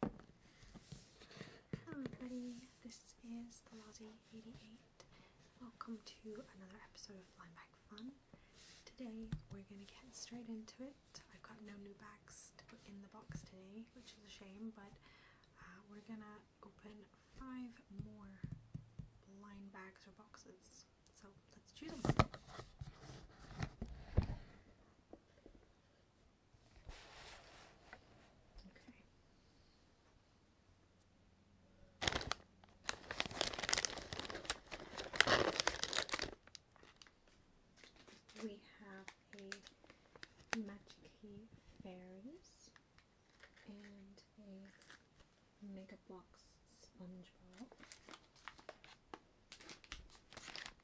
Hello everybody, this is the Lozzie88. Welcome to another episode of Blind Bag Fun. Today we're going to get straight into it. I've got no new bags to put in the box today, which is a shame, but uh, we're going to open five more blind bags or boxes. So let's choose them. We have a Magic key, Fairies and a Mega Bloks SpongeBob.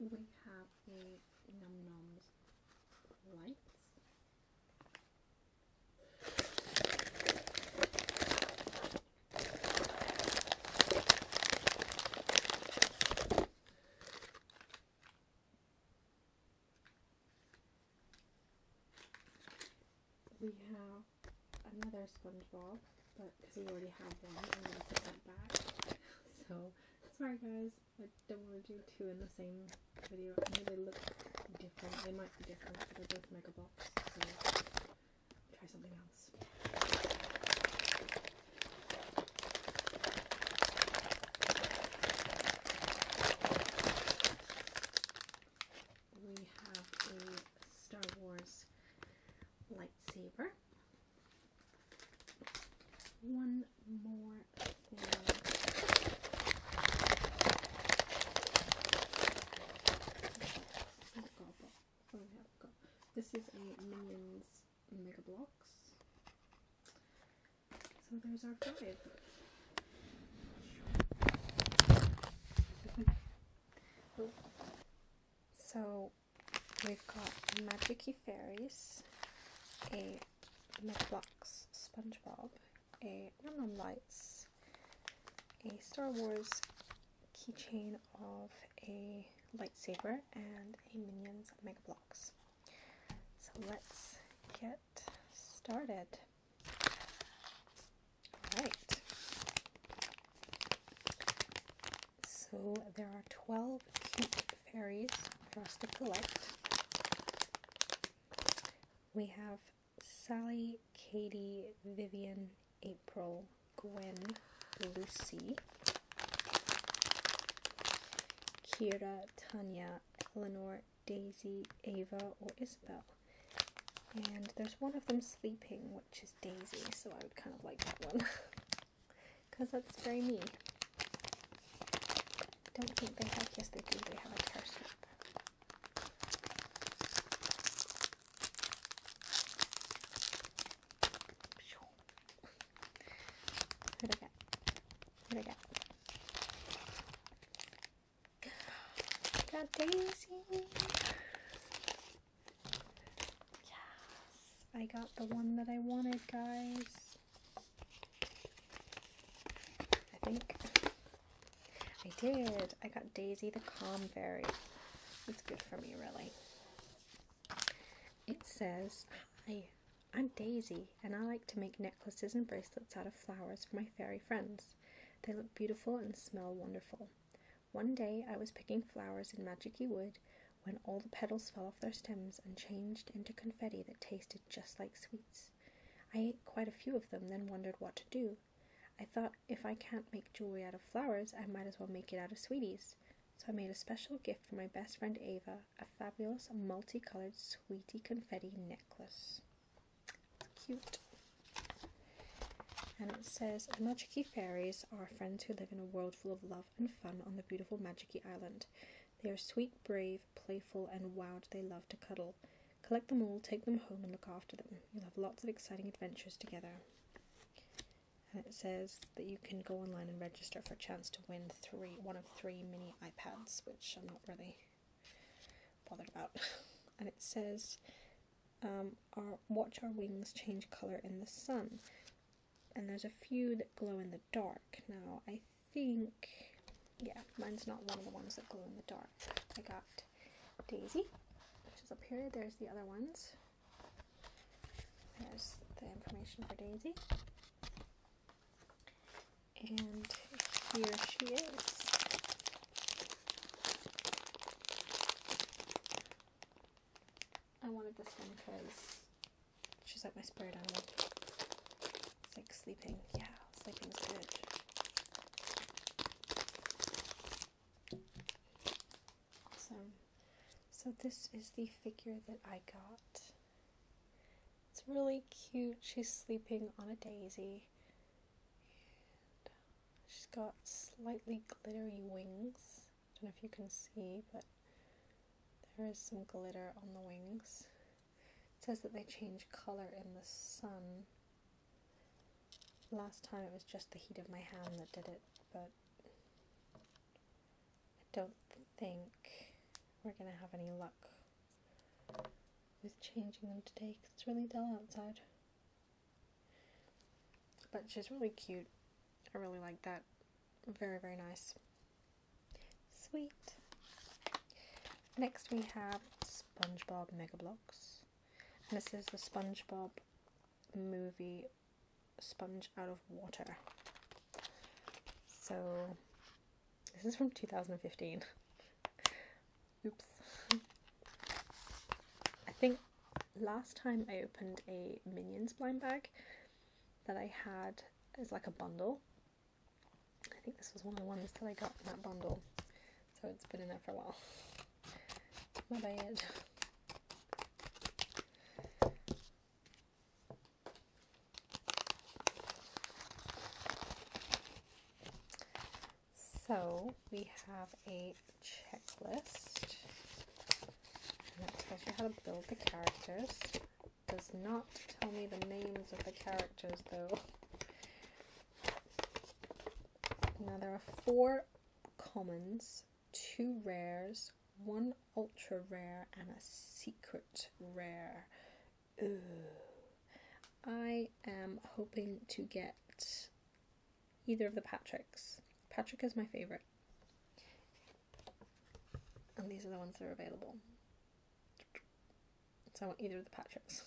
we have the Num Noms lights. We have another SpongeBob, but because we already have one, I'm put that back. So Sorry guys, I don't want to do two in the same video. I know they look different. They might be different, but they're both mega box, so try something else. We have a Star Wars lightsaber. One more oh, this is a Minions Mega Blocks. So there's our five. So we've got Magicy Fairies, a McFlux SpongeBob, a Num Lights, a Star Wars keychain of a lightsaber, and a Minions Mega Blocks. So let's get started. Alright. So there are 12 cute fairies for us to collect. We have Sally, Katie, Vivian, April, Gwen, Lucy, Kira, Tanya, Eleanor, Daisy, Ava, or Isabel. And there's one of them sleeping, which is Daisy, so I would kind of like that one. Because that's very me. I don't think they have, yes, they do. They have a tear strip. What I got? What I got? got Daisy. Yes, I got the one that I wanted, guys. I think I did. I got Daisy the Calm fairy. It's good for me, really. It says, Hi, I'm Daisy, and I like to make necklaces and bracelets out of flowers for my fairy friends. They look beautiful and smell wonderful. One day I was picking flowers in Majiki Wood when all the petals fell off their stems and changed into confetti that tasted just like sweets. I ate quite a few of them, then wondered what to do. I thought if I can't make jewelry out of flowers, I might as well make it out of sweeties. So I made a special gift for my best friend Ava a fabulous multicolored sweetie confetti necklace. It's cute. And it says, Majiki fairies are friends who live in a world full of love and fun on the beautiful Majiki Island. They are sweet, brave, playful, and wild. They love to cuddle. Collect them all, take them home, and look after them. You'll have lots of exciting adventures together. And it says that you can go online and register for a chance to win three, one of three mini iPads, which I'm not really bothered about. and it says, um, our, watch our wings change color in the sun and there's a few that glow in the dark. Now, I think, yeah, mine's not one of the ones that glow in the dark. I got Daisy, which is up here. There's the other ones. There's the information for Daisy. And here she is. I wanted this one because she's like my spirit animal. It's like sleeping. Yeah, sleeping is good. Awesome. So this is the figure that I got. It's really cute. She's sleeping on a daisy. And she's got slightly glittery wings. I don't know if you can see, but there is some glitter on the wings. It says that they change color in the sun. Last time it was just the heat of my hand that did it, but I don't think we're going to have any luck with changing them today it's really dull outside. But she's really cute. I really like that. Very, very nice. Sweet. Next we have SpongeBob Megablocks. This is the SpongeBob movie Sponge Out of Water. So this is from 2015. Oops. I think last time I opened a Minions blind bag that I had as like a bundle. I think this was one of the ones that I got in that bundle, so it's been in there for a while. My bad. So we have a checklist that tells you how to build the characters. Does not tell me the names of the characters though. Now there are four commons, two rares, one ultra rare, and a secret rare. Ooh. I am hoping to get either of the Patricks. Patrick is my favourite. And these are the ones that are available. So I want either of the Patricks.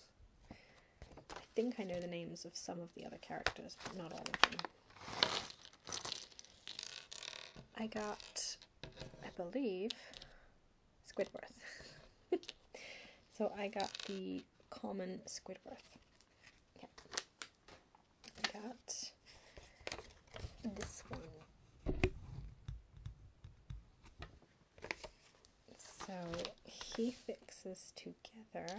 I think I know the names of some of the other characters, but not all of them. I got, I believe, Squidworth. so I got the common Squidworth got this one. So he fixes together.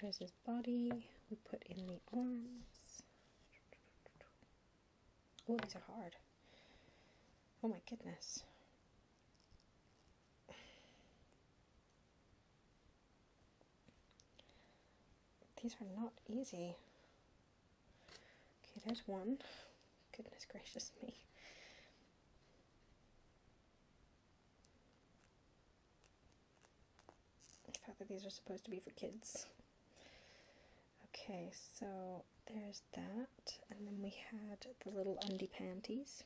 There's his body. We put in the arms. Oh, these are hard. Oh my goodness. These are not easy. Okay, there's one. Goodness gracious me. The fact that these are supposed to be for kids. Okay, so there's that. And then we had the little undie panties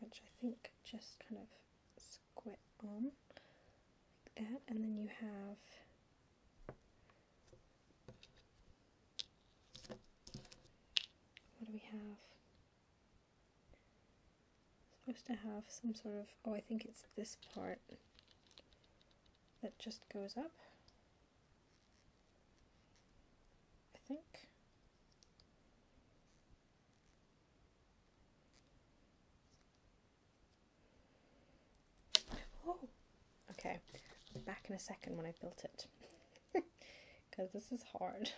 which I think just kind of squat on like that, and then you have what do we have? Supposed to have some sort of oh, I think it's this part that just goes up. I think. Oh, okay. Back in a second when I built it. Because this is hard.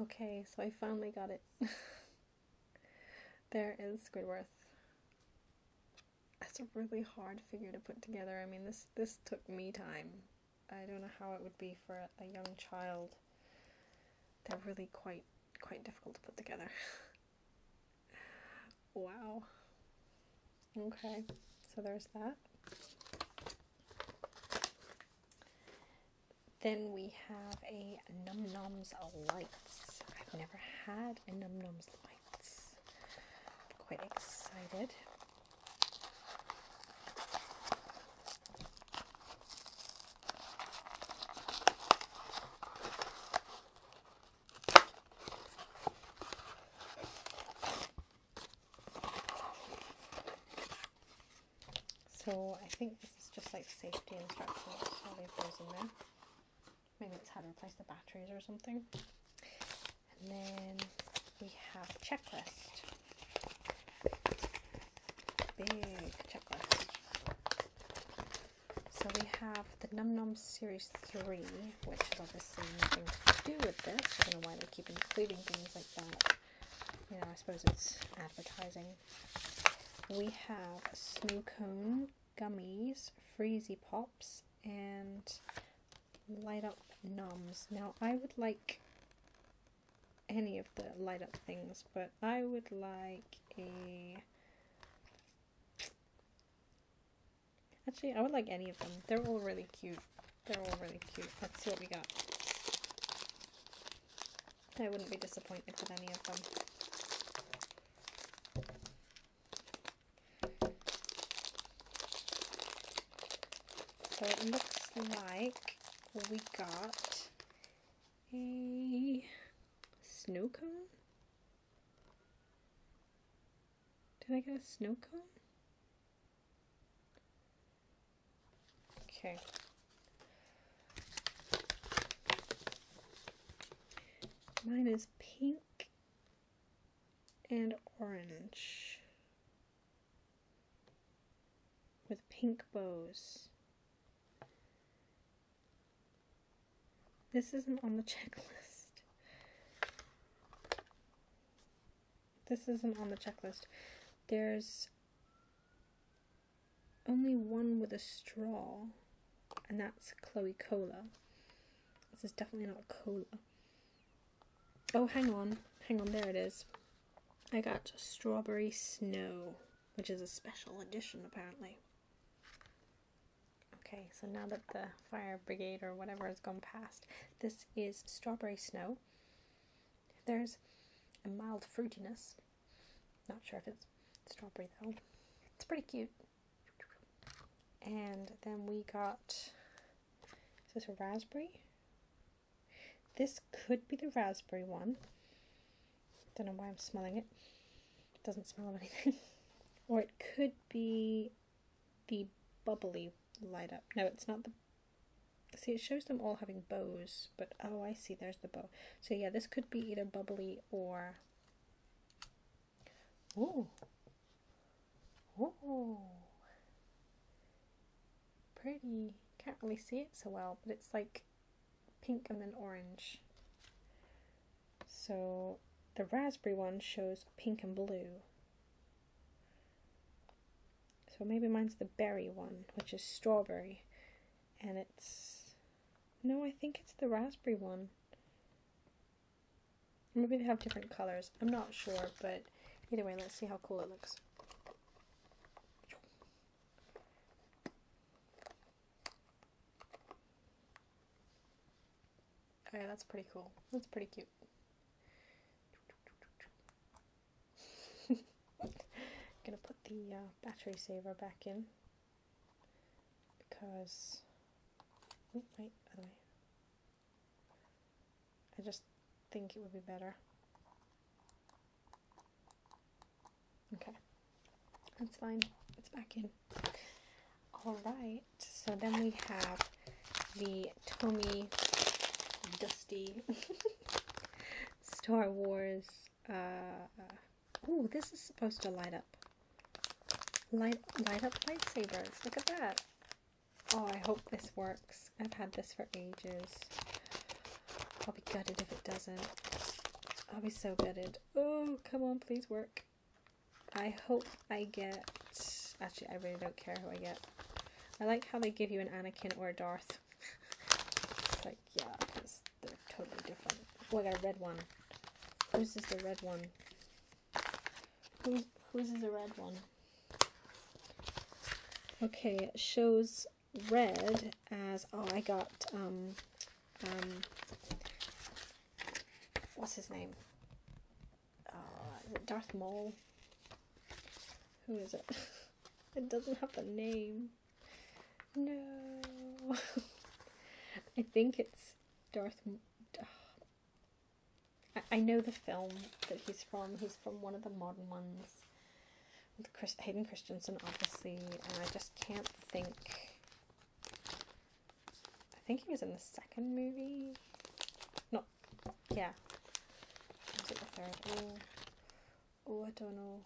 Okay, so I finally got it. there is Squidworth. That's a really hard figure to put together. I mean, this this took me time. I don't know how it would be for a young child. They're really quite quite difficult to put together. wow. Okay, so there's that. Then we have a Num Nums Lights. I've never had a Num Nums Lights. I'm quite excited. So I think this is just like safety instructions, I'll leave those in there. Maybe it's how to replace the batteries or something. And then we have checklist. Big checklist. So we have the Num Num Series 3, which is obviously nothing to do with this. I don't know why they keep including things like that. You know, I suppose it's advertising. We have Snow Cone, Gummies, Freezy Pops, and Light Up Nums. Now, I would like any of the light up things, but I would like a... Actually, I would like any of them. They're all really cute. They're all really cute. Let's see what we got. I wouldn't be disappointed with any of them. So it looks like we got a snow cone. Did I get a snow cone? Okay. Mine is pink and orange with pink bows. This isn't on the checklist. This isn't on the checklist. There's only one with a straw, and that's Chloe Cola. This is definitely not cola. Oh, hang on. Hang on, there it is. I got Strawberry Snow, which is a special edition apparently. Okay, so now that the fire brigade or whatever has gone past, this is Strawberry Snow. There's a mild fruitiness. Not sure if it's strawberry though. It's pretty cute. And then we got, is this a raspberry? This could be the raspberry one. Don't know why I'm smelling it. It doesn't smell of anything. or it could be the bubbly light up. No, it's not the... See, it shows them all having bows, but oh, I see, there's the bow. So yeah, this could be either bubbly or... Ooh, Ooh. Pretty. Can't really see it so well, but it's like pink and then orange. So the raspberry one shows pink and blue. So maybe mine's the berry one, which is strawberry. And it's... No, I think it's the raspberry one. Maybe they have different colors. I'm not sure, but either way, let's see how cool it looks. Okay, oh, that's pretty cool. That's pretty cute. I'm gonna put the uh, battery saver back in because oh, Wait, wait, I just think it would be better. Okay, that's fine. It's back in. Alright, so then we have the Tomy Dusty Star Wars. oh, this is supposed to light up. Light, light up lightsabers. Look at that. Oh, I hope this works. I've had this for ages. I'll be gutted if it doesn't. I'll be so gutted. Oh, come on, please work. I hope I get... Actually, I really don't care who I get. I like how they give you an Anakin or a Darth. it's like, yeah, because they're totally different. Oh, I got a red one. Who's this? the red one? Who's, whose is the red one? Okay, it shows red as, oh, I got, um, um, what's his name? Oh, Darth Maul? Who is it? it doesn't have a name. No. I think it's Darth. Oh, I, know the film that he's from. He's from one of the modern ones with Chris, Hayden Christensen, obviously. And I just can't think. I think he was in the second movie. No, yeah. Oh, oh, I don't know.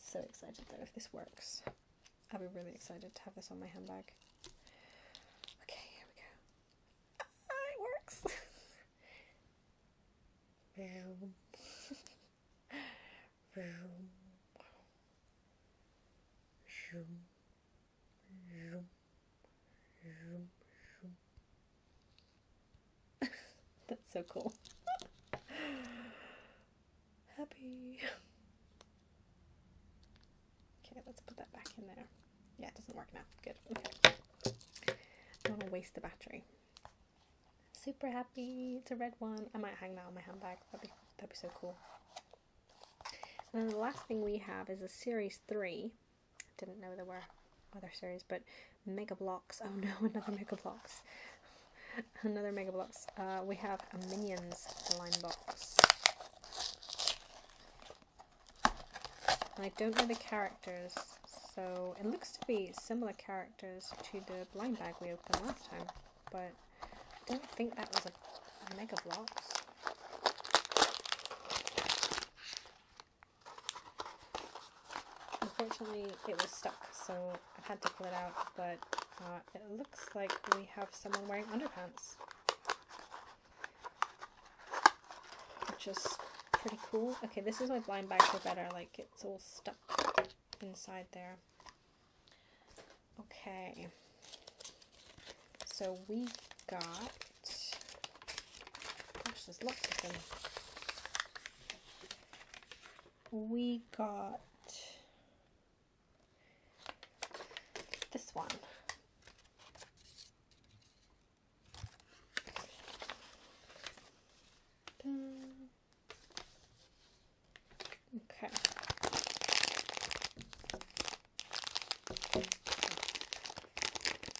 So excited though if this works. I'll be really excited to have this on my handbag. Okay, here we go. it works. Vroom. Vroom. Zoom. Zoom. Zoom. Zoom. That's so cool. Happy. Okay, let's put that back in there. Yeah, it doesn't work now. Good. Okay. don't want to waste the battery. Super happy. It's a red one. I might hang that on my handbag. That'd be that'd be so cool. And then the last thing we have is a series three. Didn't know there were other series, but Mega Blocks. Oh no, another Mega Blocks. another Mega Blocks. Uh, we have a Minions line box. And I don't know the characters, so it looks to be similar characters to the blind bag we opened last time, but I don't think that was a mega blocks. Unfortunately, it was stuck, so I've had to pull it out, but uh, it looks like we have someone wearing underpants which is pretty cool. Okay, this is my blind bags are better, like it's all stuck inside there. Okay, so we got, gosh, there's lots of them. We got this one. Okay.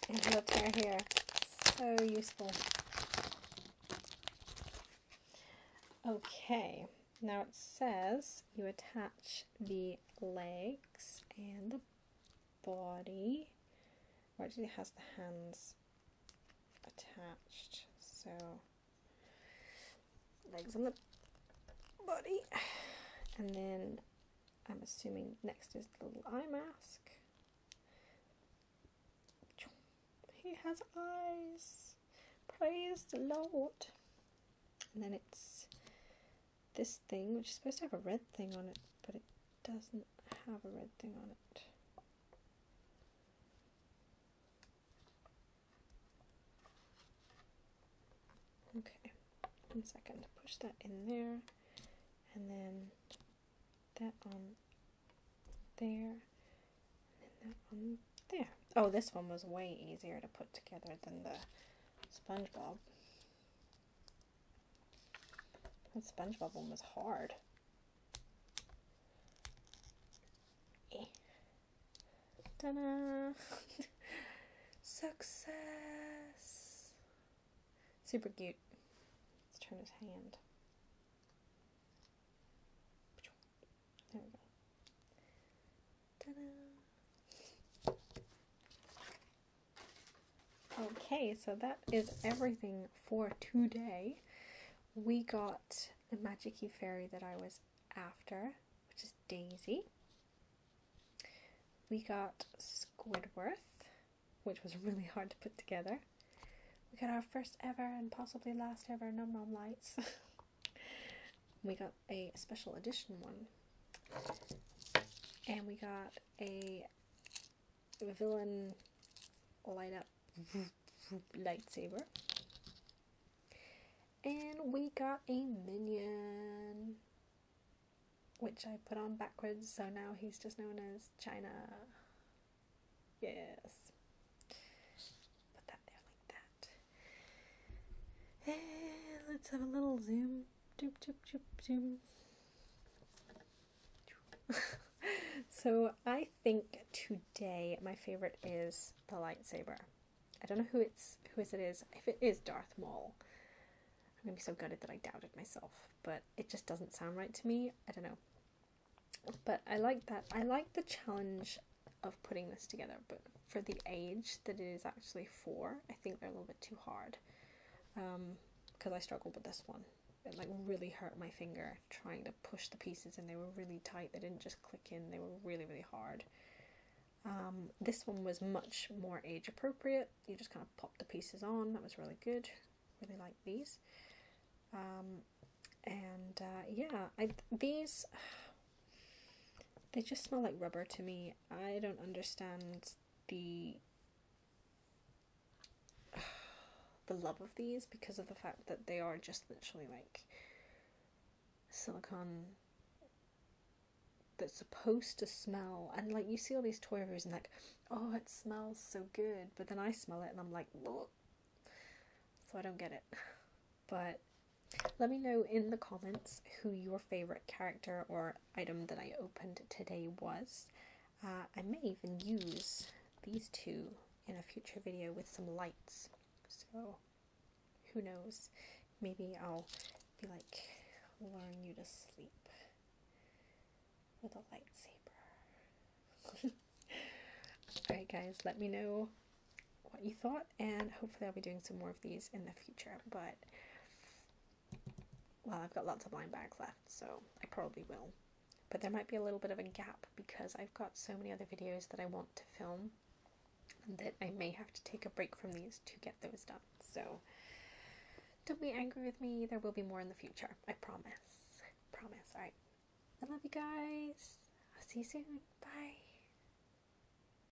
Envelopes are here. So useful. Okay. Now it says you attach the legs and the body or actually has the hands attached so legs on the body and then I'm assuming next is the little eye mask he has eyes praise the Lord and then it's this thing, which is supposed to have a red thing on it, but it doesn't have a red thing on it. Okay, one second, push that in there, and then that on there, and that on there. Oh, this one was way easier to put together than the SpongeBob. That SpongeBob one was hard. Eh. ta Success! Super cute. Let's turn his hand. There we go. Okay, so that is everything for today. We got the magicy fairy that I was after, which is Daisy. We got Squidworth, which was really hard to put together. We got our first ever and possibly last ever Nom Nom Lights. we got a special edition one. And we got a villain light up lightsaber. And we got a minion, which I put on backwards, so now he's just known as China. Yes. Put that there like that. And let's have a little zoom so I think today my favorite is the lightsaber. I don't know who it's who is it is. If it is Darth Maul, I'm gonna be so gutted that I doubted myself. But it just doesn't sound right to me. I don't know. But I like that. I like the challenge of putting this together, but for the age that it is actually for, I think they're a little bit too hard because um, I struggled with this one. It like really hurt my finger trying to push the pieces and they were really tight. They didn't just click in. They were really, really hard. Um, this one was much more age appropriate. You just kind of pop the pieces on. That was really good. Really like these. Um, and uh, yeah, I, these they just smell like rubber to me. I don't understand the the love of these because of the fact that they are just literally like silicone that's supposed to smell and like you see all these toy reviews and like oh it smells so good but then i smell it and i'm like look. so i don't get it but let me know in the comments who your favourite character or item that I opened today was. Uh, I may even use these two in a future video with some lights. So, who knows? Maybe I'll be like, learn you to sleep with a lightsaber. Alright guys, let me know what you thought and hopefully I'll be doing some more of these in the future but well I've got lots of blind bags left so I probably will but there might be a little bit of a gap because I've got so many other videos that I want to film that I may have to take a break from these to get those done so don't be angry with me there will be more in the future I promise promise alright I love you guys I'll see you soon bye